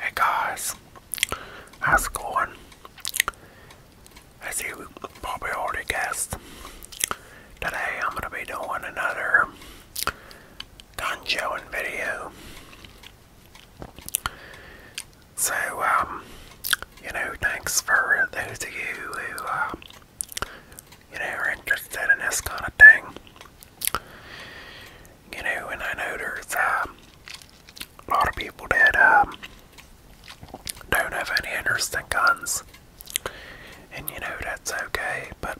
Hey guys, how's it going? As you probably already guessed, today I'm going to be doing another dungeon video. So, um, you know, thanks for those of you who, uh, you know, are interested in this kind of thing. You know, and I know there's um, a lot of people that um, don't have any interest in guns, and you know that's okay. But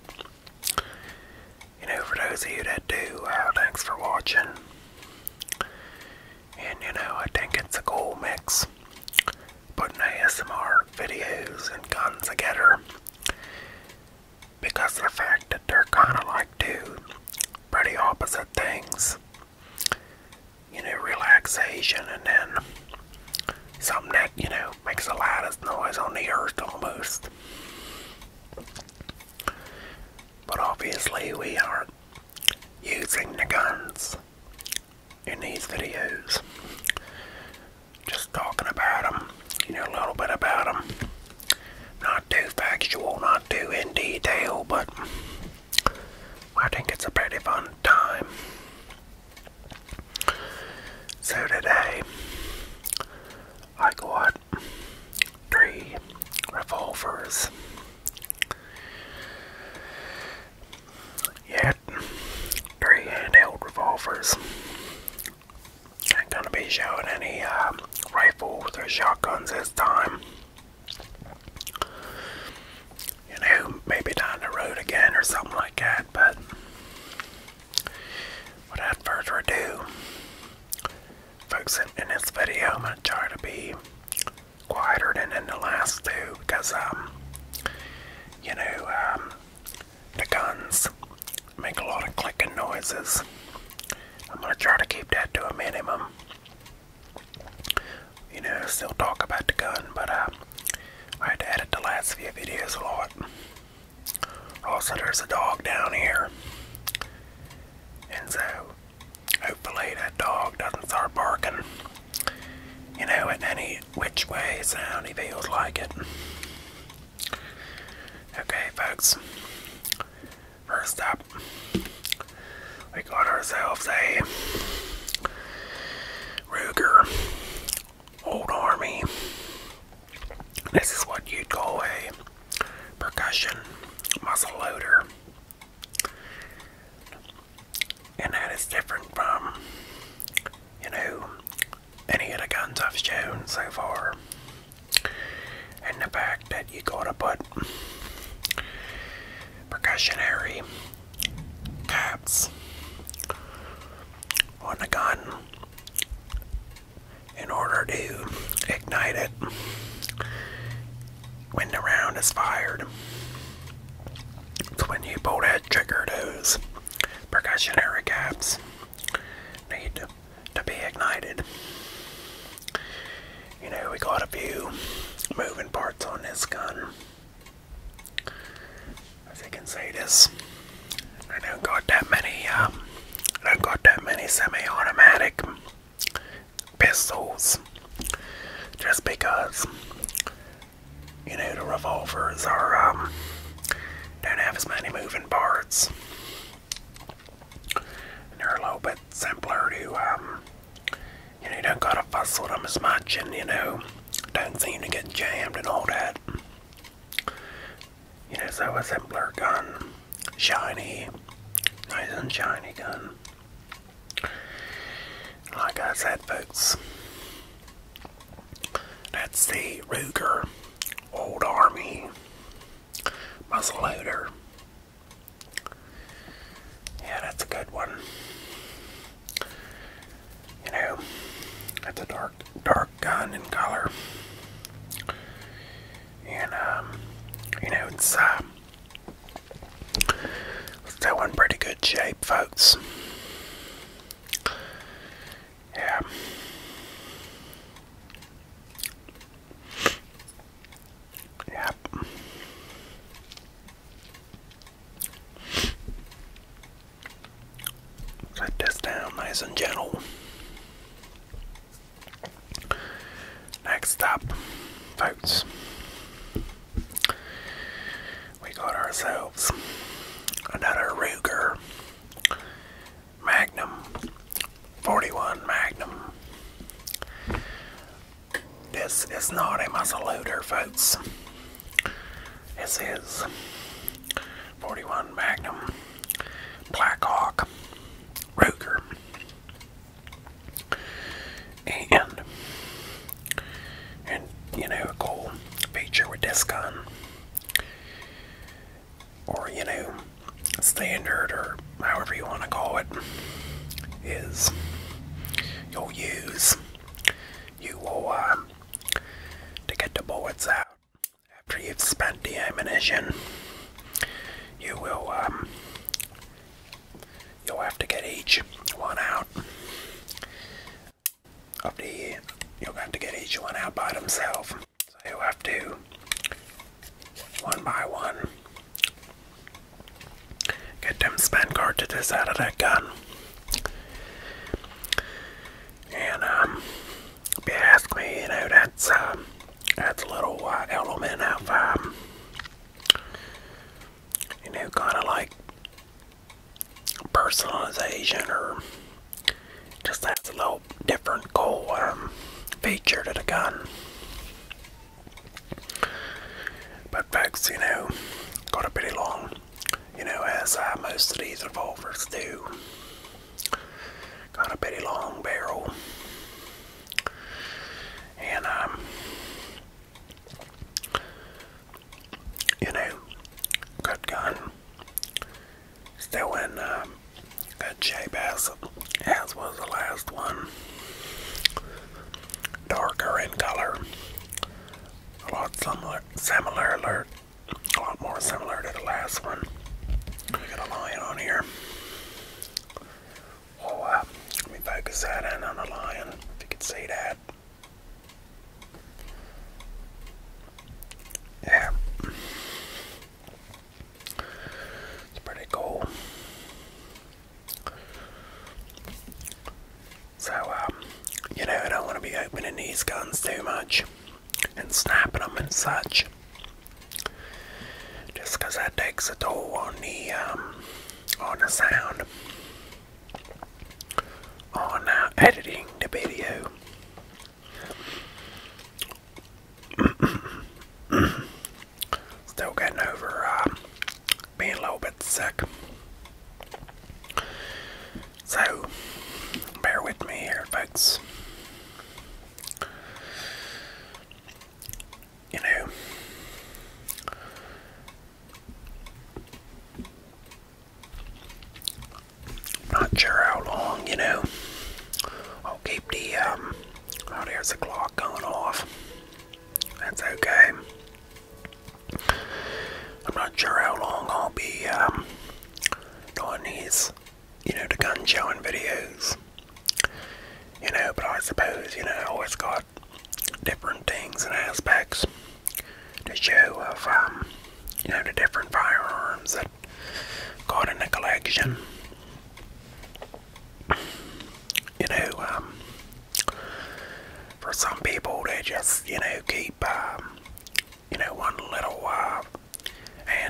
you know, for those of you that do, uh, thanks for watching. And you know, I think it's a cool mix putting ASMR videos and guns together because of the fact that they're kind of like two pretty opposite things. You know, relaxation and then something that, you know, makes the loudest noise on the earth almost. But obviously, we aren't using the guns in these videos. Just talking about them, you know, a little bit about them. Not too factual, not too in detail, but I think it's a pretty fun time. So today, I got three revolvers. Yet, three handheld revolvers. Gonna be showing any um, rifles or shotguns this time. You know, maybe down the road again or something like that, but without further ado, folks, in, this video, I'm gonna try to be quieter than in the last two because, um, you know, um, the guns make a lot of clicking noises. I'm gonna try to keep that to a minimum. You know, still talk about the gun, but uh, I had to edit the last few videos a lot. Also, there's a dog down here, and so hopefully that dog doesn't start barking. You know, in any which way sound he feels like it. Okay, folks. First up, we got ourselves a Ruger Old Army. This is what you'd call a percussion muzzle loader. And that is different from, you know, any of the guns I've shown so far, and the fact that you gotta put percussionary caps on the gun in order to ignite it when the round is fired. It's when you pull that trigger, those Percussionary caps need to, be ignited. You know, we got a few moving parts on this gun. As you can see this, I don't got that many, um, I don't got that many semi-automatic pistols. Just because you know, the revolvers are, um, don't have as many moving parts. they're a little bit simpler to, um, you know, you don't gotta fuss with them as much and, you know, don't seem to get jammed and all that. You know, so a simpler gun. Shiny. Nice and shiny gun. Like I said, folks, that's the Ruger Old Army muzzle Yeah, that's a good one. You know, that's a dark, dark gun in color, and um, you know it's uh, still in pretty good shape, folks. Yeah. Yep. Set this down nice and gentle. Next up, votes we got ourselves another Ruger Magnum 41 Magnum. This is not a muzzle loader, folks. This is 41 Magnum Blackhawk Ruger and and you know a cool feature with this gun, or you know standard or however you want to call it is you'll use you will uh, to get the bullets out after you've spent the ammunition you will um, You'll have to get each one out of the. You'll have to get each one out by themselves. So you have to one by one get them spent cartridges out of that gun. And um, if you ask me, you know that's um, that's a little uh, element of um, you know, kind of like personalization or just has a little different cool um, feature to the gun. But folks, you know, got a pretty long, you know, as uh, most of these revolvers do. Got a pretty long barrel. And um, you know, good gun. Still in um, good shape as, as was the last one. Darker in color. A lot similar, similar, a lot more similar to the last one. We got a lion on here. We'll, oh, uh, we focus that in on the lion, if you can see that. Yeah. It's pretty cool. So, um, you know, I don't want to be opening these guns too much and snapping them and such. Just because that takes a toll on the um, on the sound, on uh, editing the video. Still getting over um, being a little bit sick. So, bear with me here, folks you know, not sure how long, you know. I'll keep the, um, oh, there's the clock going off. That's okay. I'm not sure how long I'll be, um, doing these, you know, the gun showing videos. You know, but I suppose, you know, I always got different things and aspects to show of um, you know the different firearms that got in the collection. You know, um, for some people they just you know keep um, you know one little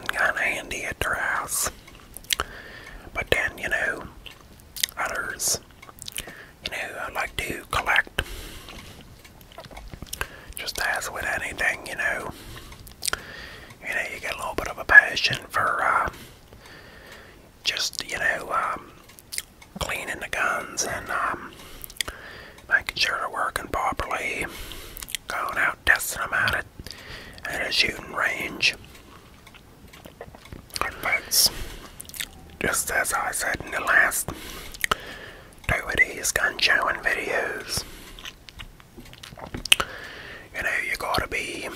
kind uh, of handy at their house, but then you know others. You know, I like to collect. Just as with anything, you know, you know, you get a little bit of a passion for uh, just, you know, um, cleaning the guns and um, making sure they're working properly, going out testing them out at, at a shooting range. But just as I said in the last two of these gun showing videos, you know, you gotta be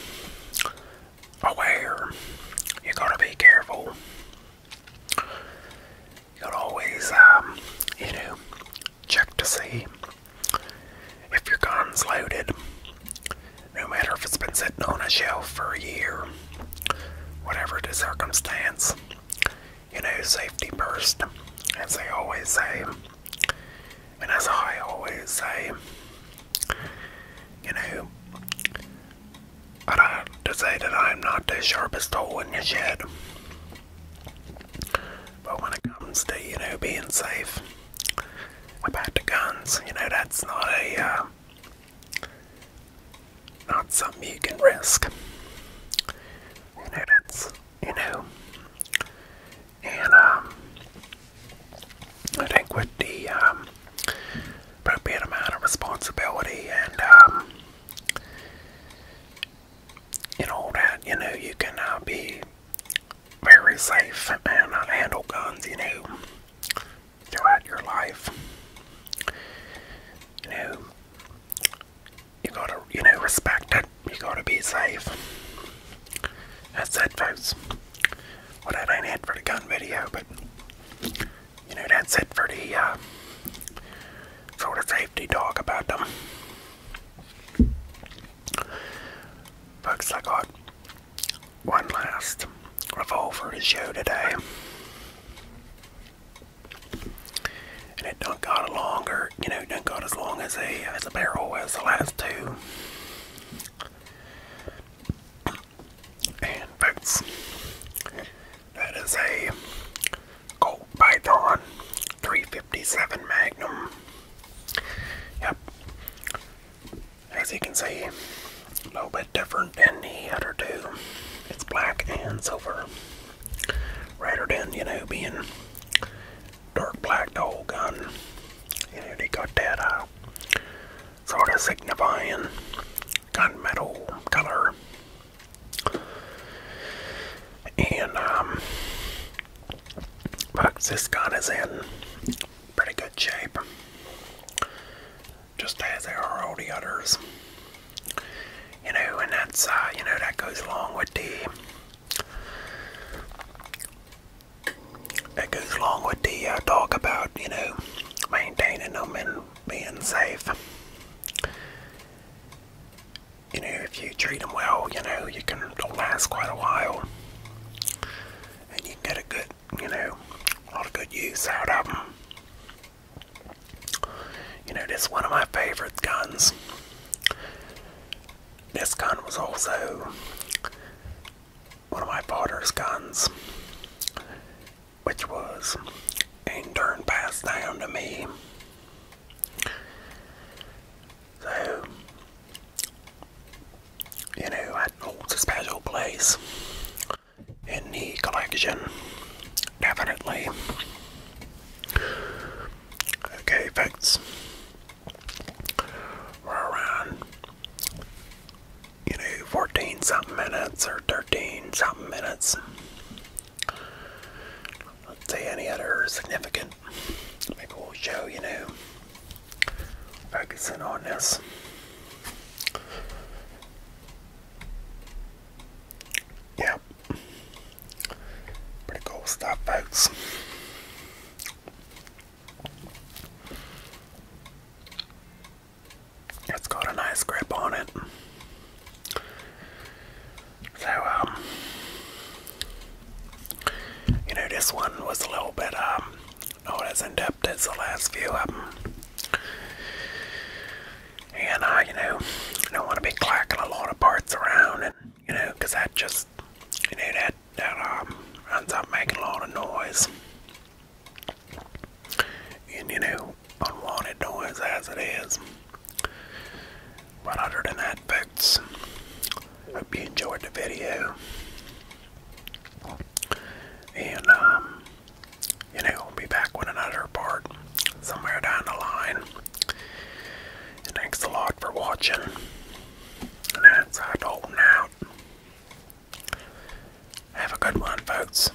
aware, you gotta be careful, you gotta always, um, you know, check to see if your gun's loaded, no matter if it's been sitting on a shelf for a year, whatever the circumstance, you know, safety first, as they always say. And as I always say, you know, I to say that I'm not the sharpest tool in the shed. But when it comes to, you know, being safe, about the guns. You know, that's not a uh, not something you can risk. You know, that's you know, and um, I think with the um, appropriate amount of responsibility and um, and all that, you know, you can uh, be very safe and I handle guns, you know, throughout your life. You know, you gotta, you know, respect it. You gotta be safe. That's it, folks. Well, that ain't it for the gun video, but you know, that's it for the uh, sort of safety talk about them. Folks, I got one last revolver to show today. And it don't got a longer, you know, it not got as long as a as a barrel as the last two. And folks, that is a gold python 357 Magnum. Yep. As you can see, a little bit different than the other two. It's black and silver. Rather than, you know, being dark black the whole gun. You know, they got that uh, sort of signifying gunmetal color. And um but this gun is in pretty good shape, just as they are all the others. You know, and that's uh, you know that goes along with the that goes along with the uh, talk about you know maintaining them and being safe you know, if you treat them well, you know, you can last quite a while. And you can get a good, you know, a lot of good use out of them. You know, this one of my favorite guns. This gun was also one of my father's guns, which was a darn passed down to me. So, you know, I holds special place in the collection, definitely. Okay, folks, we're around, you know, 14 something minutes or 13 something minutes. let any other significant and maybe we'll show you know focusing on this yeah pretty cool stuff folks it's got a nice grip on it so, um, you know, this one was a little bit, um, not as in depth as the last few of them. Um, and, uh, you know, I don't want to be clacking a lot of parts around, and, you know, because that just, you know, that, that, um, ends up making a lot of noise. And, you know, unwanted noise as it is. 109 votes. Hope you enjoyed the video. And, um, you know, we'll be back with another part somewhere down the line. thanks a lot for watching. And that's I Dalton Have a good one, folks.